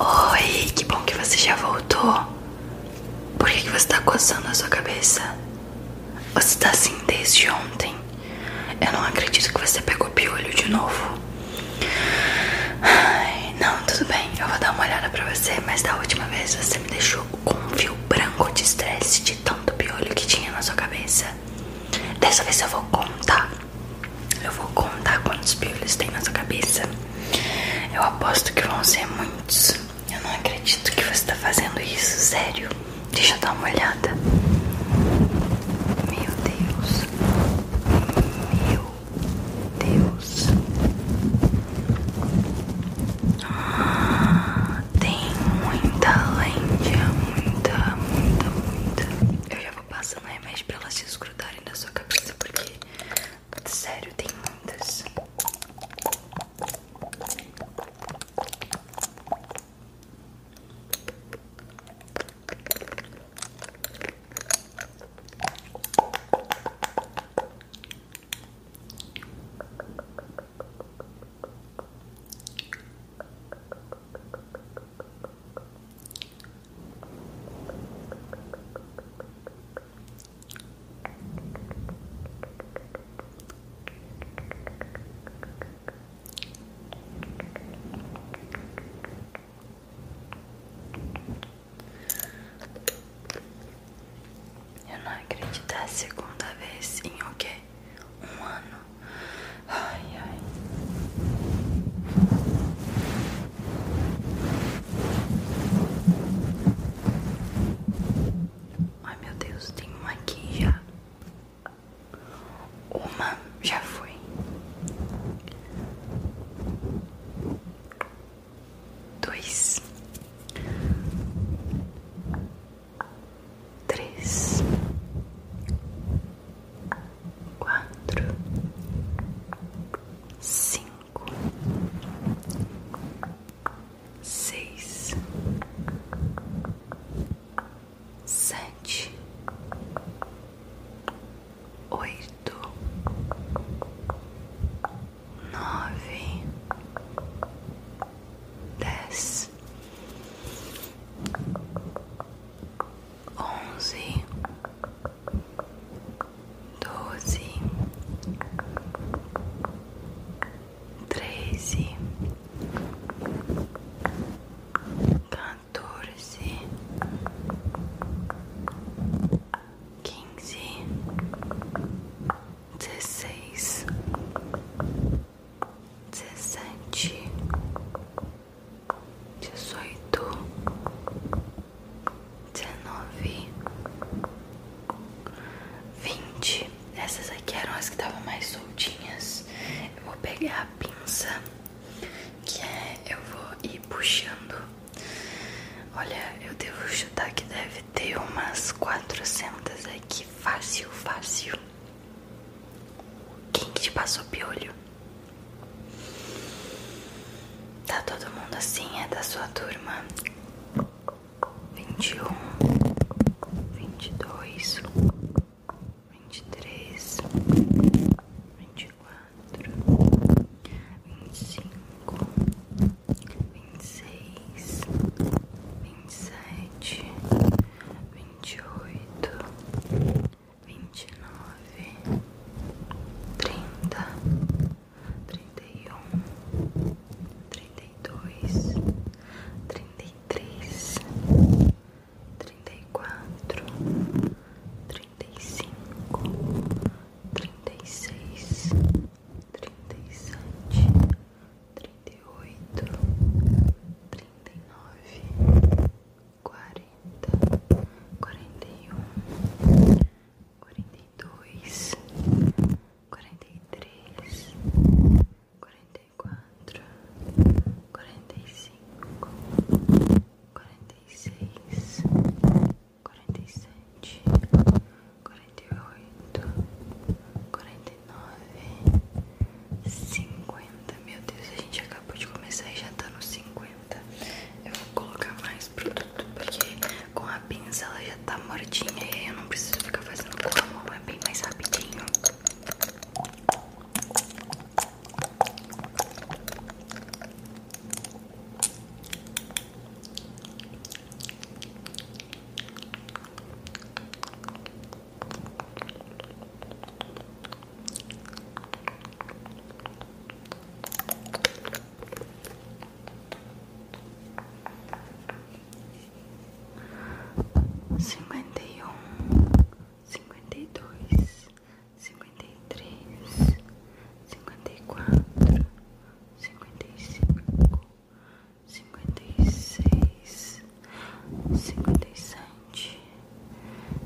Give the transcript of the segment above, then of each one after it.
Oi, que bom que você já voltou. Por que, você tá coçando a sua cabeça? Você tá assim desde ontem. Eu não acredito que você pegou piolho de novo. Ai, não, tudo bem, eu vou dar uma olhada pra você, mas da última vez você me deixou com um fio branco de estresse de tanto piolho que tinha na sua cabeça. Dessa vez eu vou contar eu vou contar quantos piolhos tem na sua cabeça. Eu aposto que vão ser muitos. Eu não acredito que você está fazendo isso, sério. Deixa eu dar uma olhada. Meu Deus. Meu Deus. Ah, tem muita lente, muita, muita, muita. Eu já vou vou passando remédio é pra elas se escrutarem da sua cabeça, porque, sério, tem muitas. Eu não acredito, é a segunda vez em o quê? Um ano. Ai, ai. Ai meu Deus, tem uma aqui já. Uma já foi. Dois, três, quatro, cinco, seis, sete, oito, nove, dez onze, doze, treze, quatorze, quinze, dezesseis, dezessete dezoito, dezenove, vinte. Essas aqui eram as que estavam mais soltinhas. Eu vou pegar a pinça, que é eu vou ir puxando. Olha, eu devo chutar que deve ter umas 400 aqui, fácil, fácil. Quem te passou piolho? Tá todo mundo assim, é da sua turma? vinte vinte vinte vinte vinte vinte e e e e e um dois três quatro cinco e seis vinte e sete vinte e oito vinte e nove, trinta, trinta e um, trinta e dois, trinta e três, trinta e quatro, trinta e cinco, trinta e seis, trinta e sete, trinta e oito, trinta e nove quarenta, quarenta e um, quarenta e dois, quarenta e três, quarenta e quatro, quarenta e cinco, quarenta e seis, quarenta e sete, quarenta e oito, quarenta e nove, cinquenta. Meu Deus, a gente acabou de começar e já está no cinquenta. Tá. Eu vou colocar mais produto porque com a pinça ela já tá mortinha e eu não preciso ficar fazendo com a mão, é bem mais rapidinho. Cinquenta e um, cinquenta e dois, cinquenta e três, cinquenta e quatro, cinquenta e cinco, cinquenta e seis, cinquenta e sete,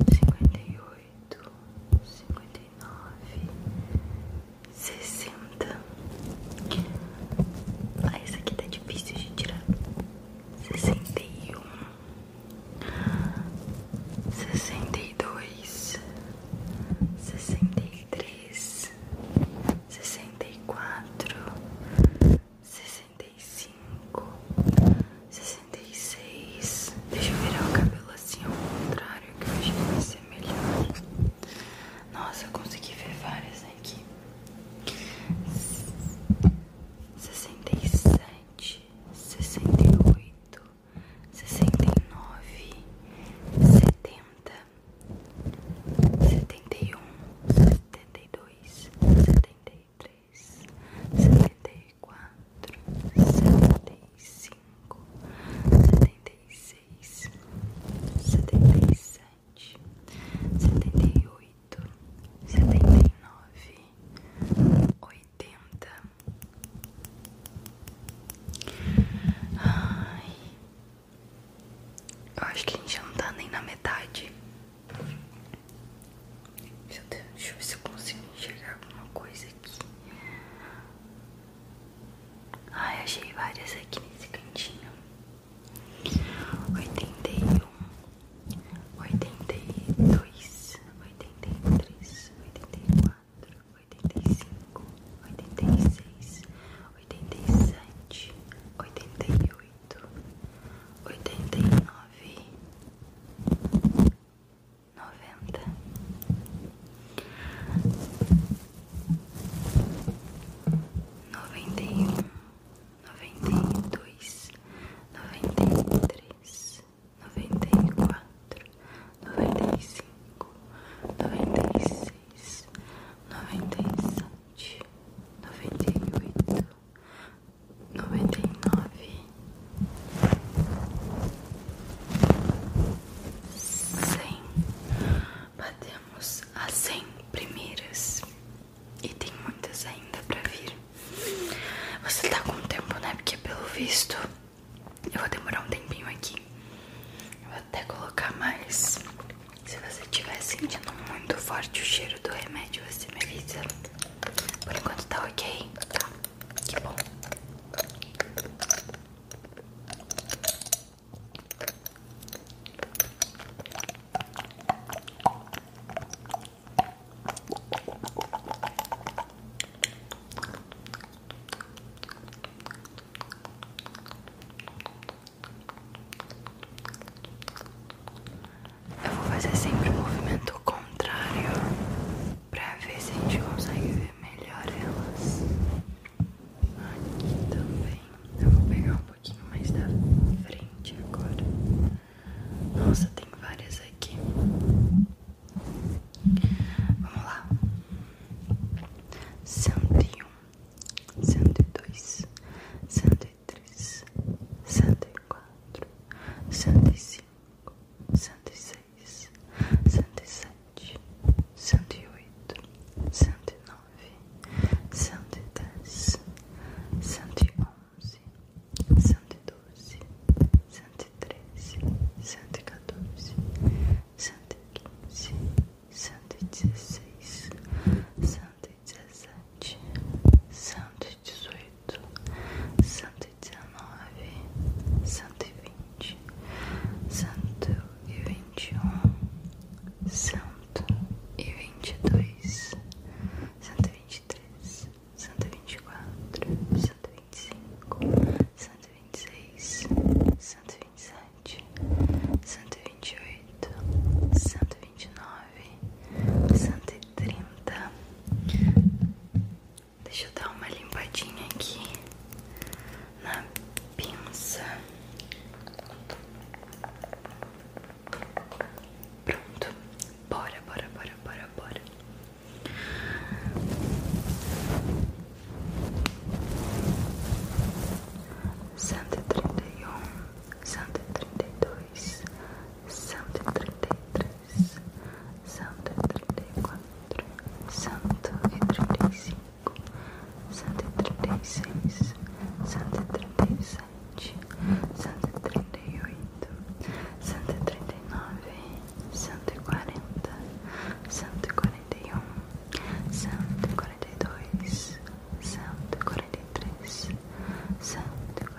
cinquenta e oito oito, cinquenta e nove, sessenta. Ah, essa aqui tá difícil de tirar. Sessenta e um, sessenta e dois, sessenta e três, sessenta e quatro, sessenta e cinco, sessenta 66. Deixa eu virar o cabelo assim ao contrário, que eu acho que vai ser melhor. Nossa, eu consegui ver várias aqui. 67, 68, 69, 70, 71, 72, 73 três, setenta e quatro, setenta e cinco, setenta e seis, setenta e sete, setenta e oito, setenta e nove, oitenta. Ai. Eu acho que a gente não tá nem na metade. Deus, deixa eu ver se eu consigo enxergar alguma coisa aqui. Ai, achei várias aqui nesse cantinho. Oitenta e um, oitenta e dois, oitenta e três, oitenta e quatro, oitenta e cinco, oitenta e seis, oitenta e sete, oitenta e oito, oitenta e nove noventa. Noventa e um, noventa e dois, noventa e três, noventa e quatro, noventa e cinco, noventa e seis, noventa e sete, noventa e oito noventa e nove, cem. Batemos as cem primeiras e tem muitas ainda pra vir. Você tá com tempo, né? Porque pelo visto eu vou demorar um tempinho aqui. Eu vou até colocar mais. Se você tiver sentindo muito forte o cheiro do remédio, você me avisa. Por enquanto está ok? Tá, que bom. Eu vou fazer sempre o movimento contrário pra ver se a gente consegue ver melhor elas. Aqui também. Eu vou pegar um pouquinho mais da frente agora. Nossa, tem várias aqui. Vamos lá. 101, 102, 103, 104, 105 cento e seis, cento e sete, cento e oito, cento e nove, cento e dez, cento e onze, cento e doze, cento e treze, cento e quatorze, cento e quinze, cento e dezesseis, cento e dezessete, cento cento cento cento cento cento cento cento cento cento e e e e e e e e e e e e e e e vinte, vinte vinte vinte vinte vinte vinte vinte um, dois, três, quatro, cinco, seis, e sete, cento e vinte e oito, cento e vinte e nove cento e trinta. Deixa eu dar uma limpadinha aqui na pinça. Pronto. Bora, bora, bora, bora, bora. Cento e trinta e um, cento e trinta e dois, cento e trinta e três. Santo trinta e quatro, Santo e trinta e cinco, Santo e trinta e seis, Santo e trinta e sete, Santo e trinta e oito, Santo e trinta e nove, Santo e quarenta, Santo e quarenta e um, Santo e quarenta e dois, Santo e quarenta e três, Santo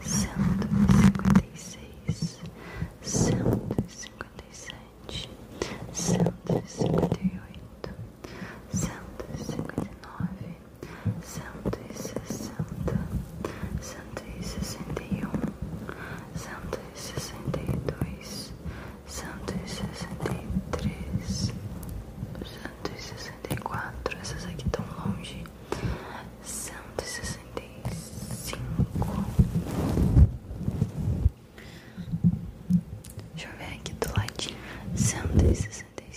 cento e cinquenta e seis, cento e cinquenta e sete, cento e cinquenta e oito, cento e cinquenta e nove, cento e sessenta, cento e sessenta e um, cento e sessenta e dois, cento e sessenta e três, cento e sessenta e quatro essas aqui estão longe. cento e sessenta 165. Deixa eu ver aqui do cento cento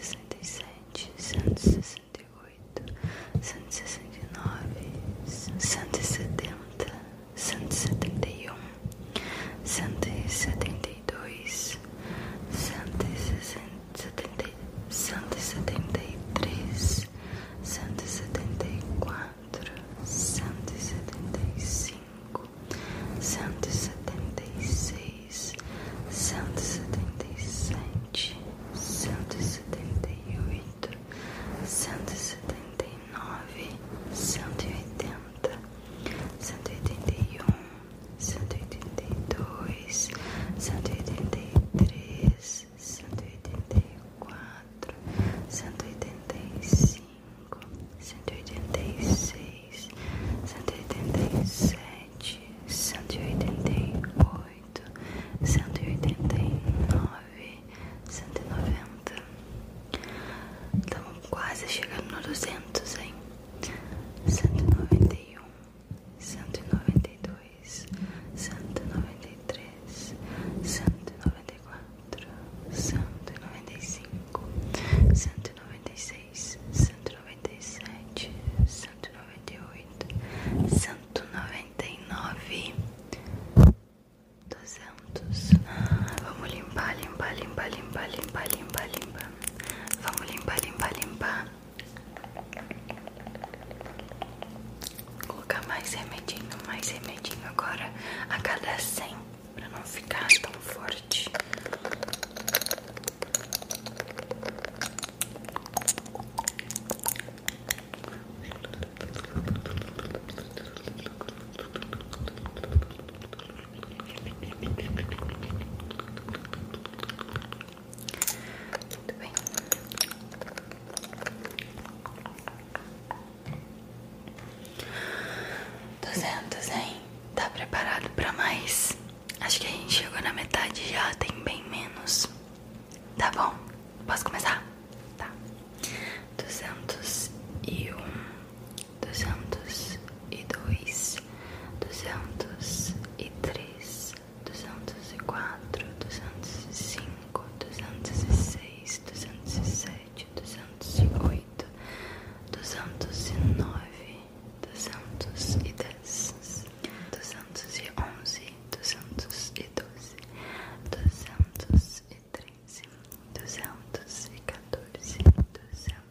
cento cento cento e e e e e e e e sessenta sessenta sessenta sessenta seis sete oito nove e setenta cento e setenta e um cento e setenta e dois, cento e setenta cento setenta e três, cento e setenta e quatro, cento e setenta e cinco, cento e setenta e seis, cento e setenta e sete, cento e setenta e oito, cento e setenta e nove, cento e oitenta, cento e oitenta e um cento e oitenta e dois, cento e oitenta e três, cento e oitenta e quatro, cento e oitenta e cinco, cento e oitenta e seis, cento e oitenta e sete, cento e oitenta e oito, cento e oitenta e nove, cento e noventa. Estamos quase chegando no duzentos, hein? cento noventa e um, cento noventa e dois, cento noventa e três, cento noventa e quatro, cento noventa e cinco, cento noventa e seis, cento noventa e sete, cento noventa e oito, cento noventa e nove. duzentos. Ah, vamos limpar, limpar, limpar, limpar, limpar, limpar, limpar Vamos limpar, limpar, limpar. Colocar mais remedinho, mais remedinho agora a cada cem para não ficar tão forte. Muito bem. Duzentos, hein? Tá preparado pra mais? Acho que a gente chegou na metade já, tem bem menos. Tá bom? Posso começar? Tá. Duzentos e um, duzentos e dois, duzentos e três, duzentos e quatro, duzentos e cinco, duzentos e seis, duzentos e sete, duzentos e oito, duzentos e nove, duzentos e dez, duzentos e onze, duzentos e doze, duzentos e treze, duzentos e quatorze, duzentos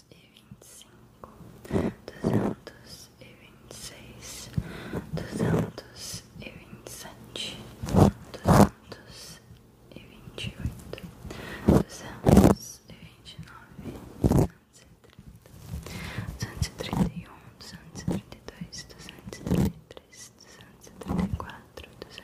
duzentos e vinte e cinco, duzentos e vinte e seis, duzentos e vinte e sete, duzentos e vinte e oito, duzentos e vinte e nove, duzentos e trinta, duzentos e trinta e um, duzentos e trinta e dois, duzentos e trinta e três, duzentos e trinta e quatro, duzentos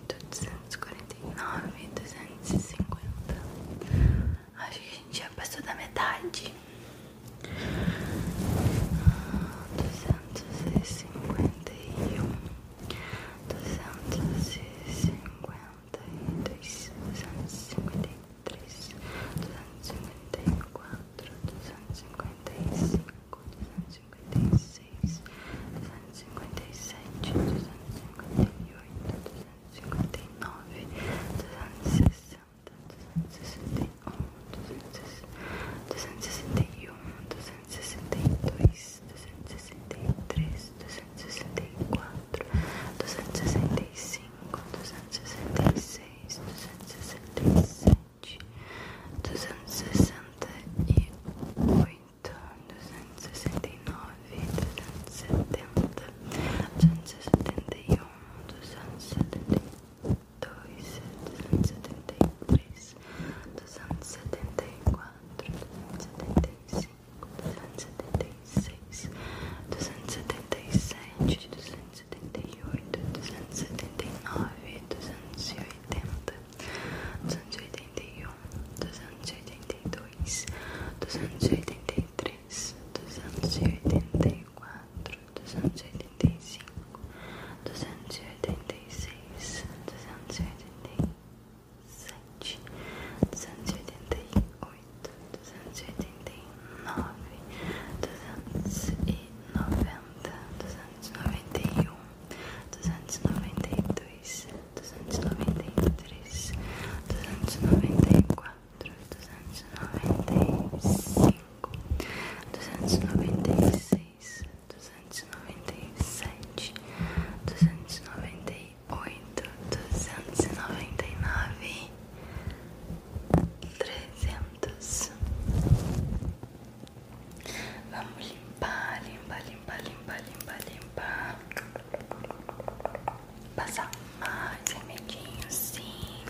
duzentos e 249, 250. Acho que a gente já passou da metade. duzentos duzentos duzentos duzentos duzentos e e e e e e e e e cinquenta cinquenta cinquenta cinquenta um dois três quatro 251, 252, 253, 254, e 256 duzentos duzentos duzentos duzentos duzentos duzentos duzentos duzentos duzentos cinquenta cinquenta cinquenta e e e e e e e sete oito nove sessenta sessenta sessenta sessenta sessenta sessenta um dois três quatro e 257, 258, 259, 260, 261, 261, 262, 263, 264, 265, sessenta e oito e e e e e e e e sessenta nove, setenta, setenta setenta setenta setenta setenta setenta setenta um, dois, três, quatro, cinco, seis, 269, 270, 271, 272, 273, 274, setenta e nove, 278, e oitenta duzentos duzentos duzentos duzentos duzentos duzentos duzentos duzentos duzentos e e e e e e e e e um dois três quatro cinco seis sete oito 281, 282, 283, 284, 285, 286, 287, 288, 289, noventa e dois duzentos duzentos duzentos duzentos duzentos duzentos noventa noventa noventa noventa noventa e e e e e três, quatro, cinco, seis, sete, 293, 294, 295, 296, noventa e nove, trezentos Vamos limpar, limpar, limpar, limpar, limpar, limpar. Passar mais remedinho, sim.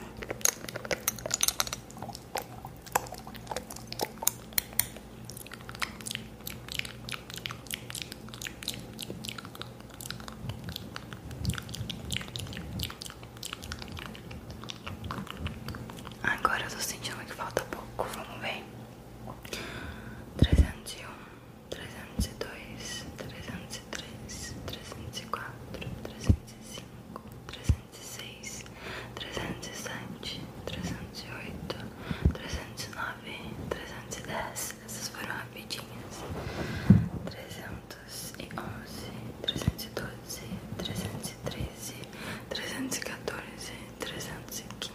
Agora eu tô sentindo que falta pouco, vamos ver trezentos e um, trezentos e dois, trezentos e três, trezentos e quatro, trezentos e cinco, trezentos e seis, trezentos e sete, trezentos e oito, trezentos e nove, trezentos e dez. Essas foram rapidinhas. Trezentos e onze, trezentos e doze, trezentos e treze, trezentos e quatorze, trezentos e quinze.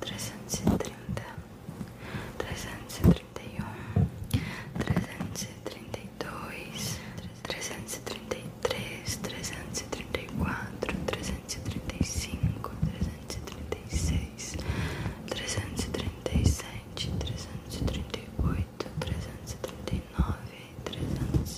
trezentos e trinta, trezentos e trinta e um, trezentos e trinta e dois, trezentos e trinta e três, trezentos e trinta e quatro, trezentos e trinta e cinco, trezentos e trinta e seis, trezentos e trinta e sete, trezentos e trinta e oito, trezentos e trinta e nove, trezentos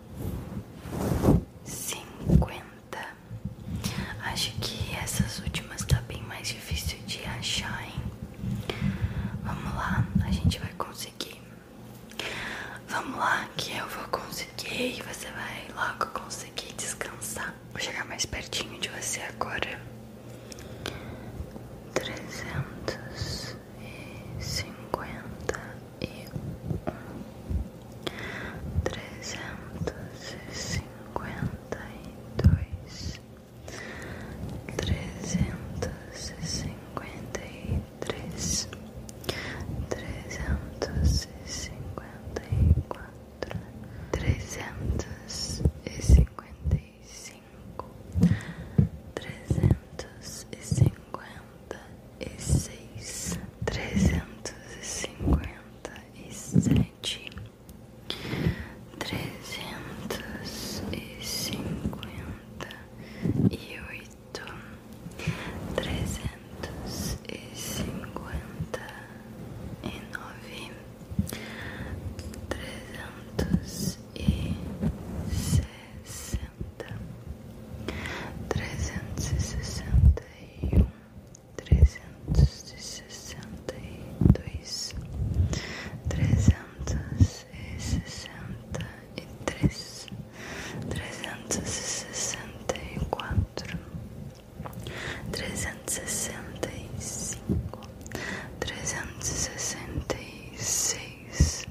50. Acho que essas últimas tá bem mais difícil de achar, hein? Vamos lá, a gente vai conseguir. Vamos lá, que eu vou conseguir e você vai logo conseguir descansar. Vou chegar mais pertinho de você agora. 350 e um trezentos e cinquenta e dois, trezentos e cinquenta e três, trezentos e cinquenta e quatro, trezentos e cinquenta e cinco, trezentos e cinquenta e seis, trezentos e cinquenta e sete, trezentos e cinquenta e oito, trezentos e cinquenta e nove, trezentos e sete sessenta, trezentos e sessenta e um, trezentos e sessenta e dois, trezentos e sessenta e três, trezentos e sessenta e quatro, trezentos e sessenta e cinco, trezentos e sessenta e seis,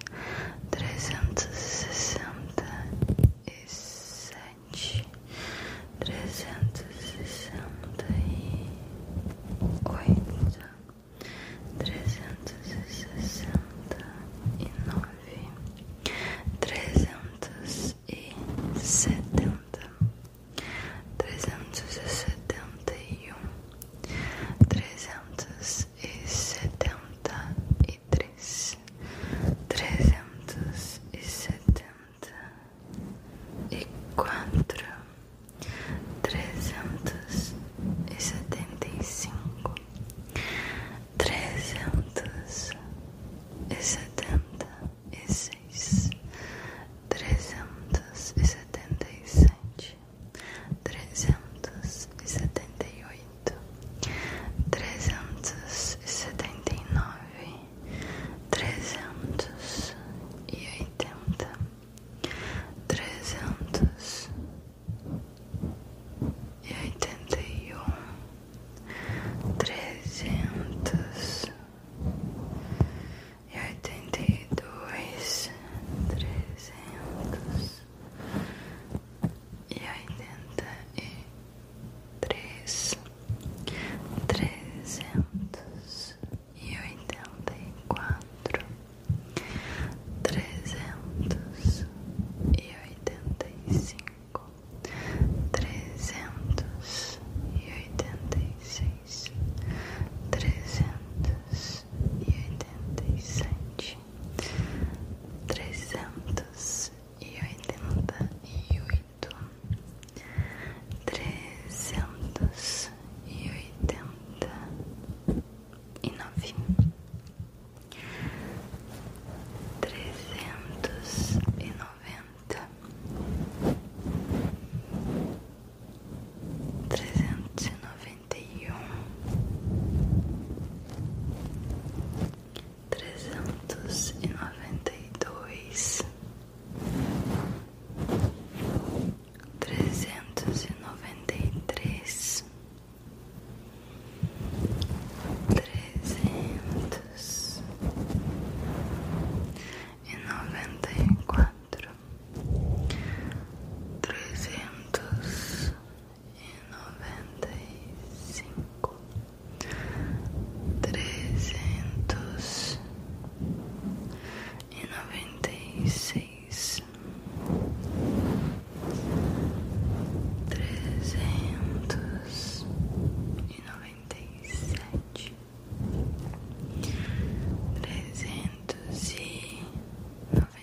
trezentos e sessenta e sete, trezentos e sessenta e oito, trezentos e sessenta e nove, trezentos e setenta, trezentos e setenta e um, trezentos e setenta e três, trezentos e setenta e quatro, trezentos e setenta e cinco, trezentos e setenta e seis, trezentos e setenta e sete, trezentos e setenta e oito trezentos e setenta e nove, trezentos e oitenta, trezentos e oitenta e um, trezentos e oitenta e dois, trezentos e oitenta e três, trezentos e oitenta e quatro, trezentos e oitenta e cinco, trezentos e oitenta e seis, trezentos e oitenta e sete trezentos e oitenta e oito, trezentos e oitenta e nove, trezentos e noventa, trezentos e noventa e um, trezentos e noventa e dois, trezentos e noventa e três, trezentos e noventa e quatro. Trezentos noventa e cinco, trezentos e noventa e seis, trezentos e noventa e sete, trezentos e noventa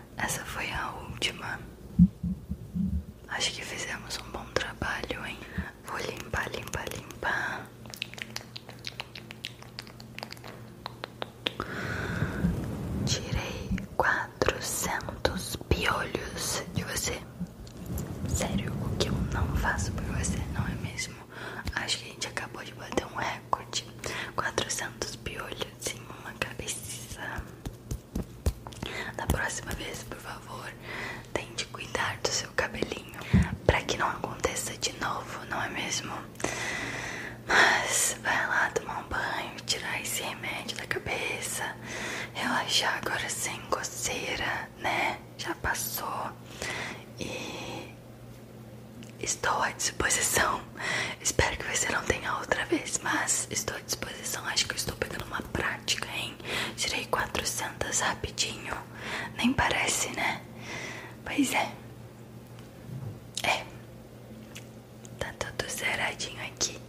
Essa foi a última. Acho que fizemos um bom trabalho, hein? Vou limpar, limpar, limpar. Tirei 400 piolhos de você. Sério, o que eu não faço por você, não é mesmo? Acho que a gente acabou de bater um recorde. 400 piolhos em uma cabeça. Da próxima vez, por favor, tente cuidar do seu cabelinho para que não aconteça de novo, não é mesmo? Mas vai lá tomar um banho, tirar esse remédio da cabeça, relaxar agora sem coceira, né? Já passou e estou à disposição Espero que você não tenha outra vez, mas estou à disposição. Acho que estou pegando uma prática, hein? Tirei 400 rapidinho. Nem parece, né? Pois é. É. Tá tudo zeradinho aqui.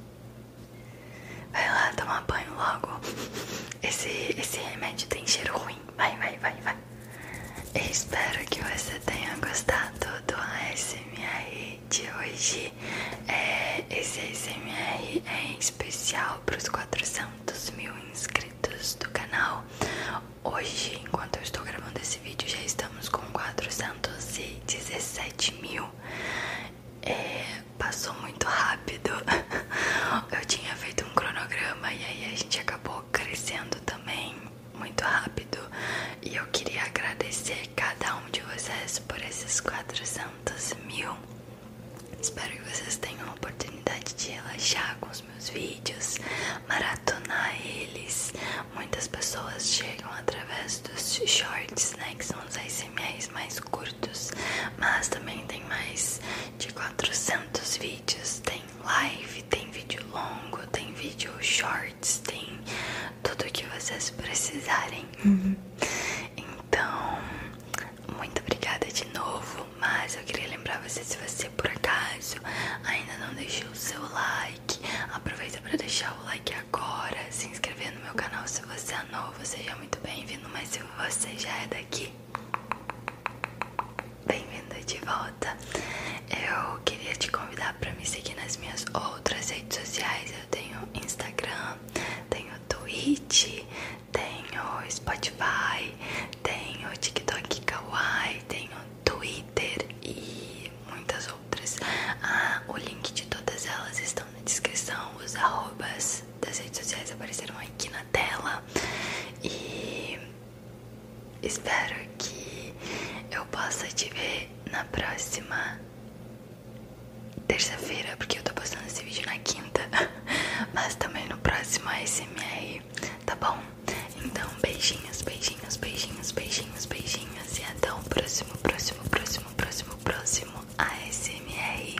Vai lá tomar banho logo. Esse, esse remédio tem cheiro ruim. Vai, vai, vai, vai. Espero que você tenha gostado do ASMR de hoje. É, esse ASMR é especial para os 400 mil inscritos do canal. Hoje, enquanto eu estou gravando esse vídeo, já estamos com 417 mil. É, passou muito rápido. Eu tinha feito um cronograma e aí a gente acabou crescendo também muito rápido. E eu queria agradecer cada um de vocês por esses 400 mil. Espero que vocês tenham a oportunidade de relaxar com os meus vídeos, maratonar eles. Muitas pessoas chegam através dos shorts, né? Que são os ASMRs mais curtos, mas também tem mais de 400 vídeos. Tem live, tem vídeo longo, tem vídeo short shorts, tem tudo que vocês precisarem. Uhum. Então, muito obrigada de novo. Mas eu queria lembrar você se você por acaso ainda não deixou o seu like, aproveita para deixar o like agora, se inscrever no meu canal se você é novo, seja muito bem-vindo. Mas se você já é daqui, bem-vindo de volta. Eu queria te convidar para me seguir nas minhas outras redes sociais. Eu tenho Instagram, tenho Twitch, tenho Spotify, tenho TikTok Kawaii, tenho Twitter e muitas outras. Ah, o link de todas elas estão na descrição. Os arrobas das redes sociais apareceram aqui na tela. E espero que eu possa te ver na próxima terça-feira, porque eu tô postando esse vídeo na quinta, mas também no próximo ASMR, tá bom? Então, beijinhos, beijinhos, beijinhos, beijinhos, beijinhos, e até o próximo, próximo, próximo, próximo, próximo ASMR.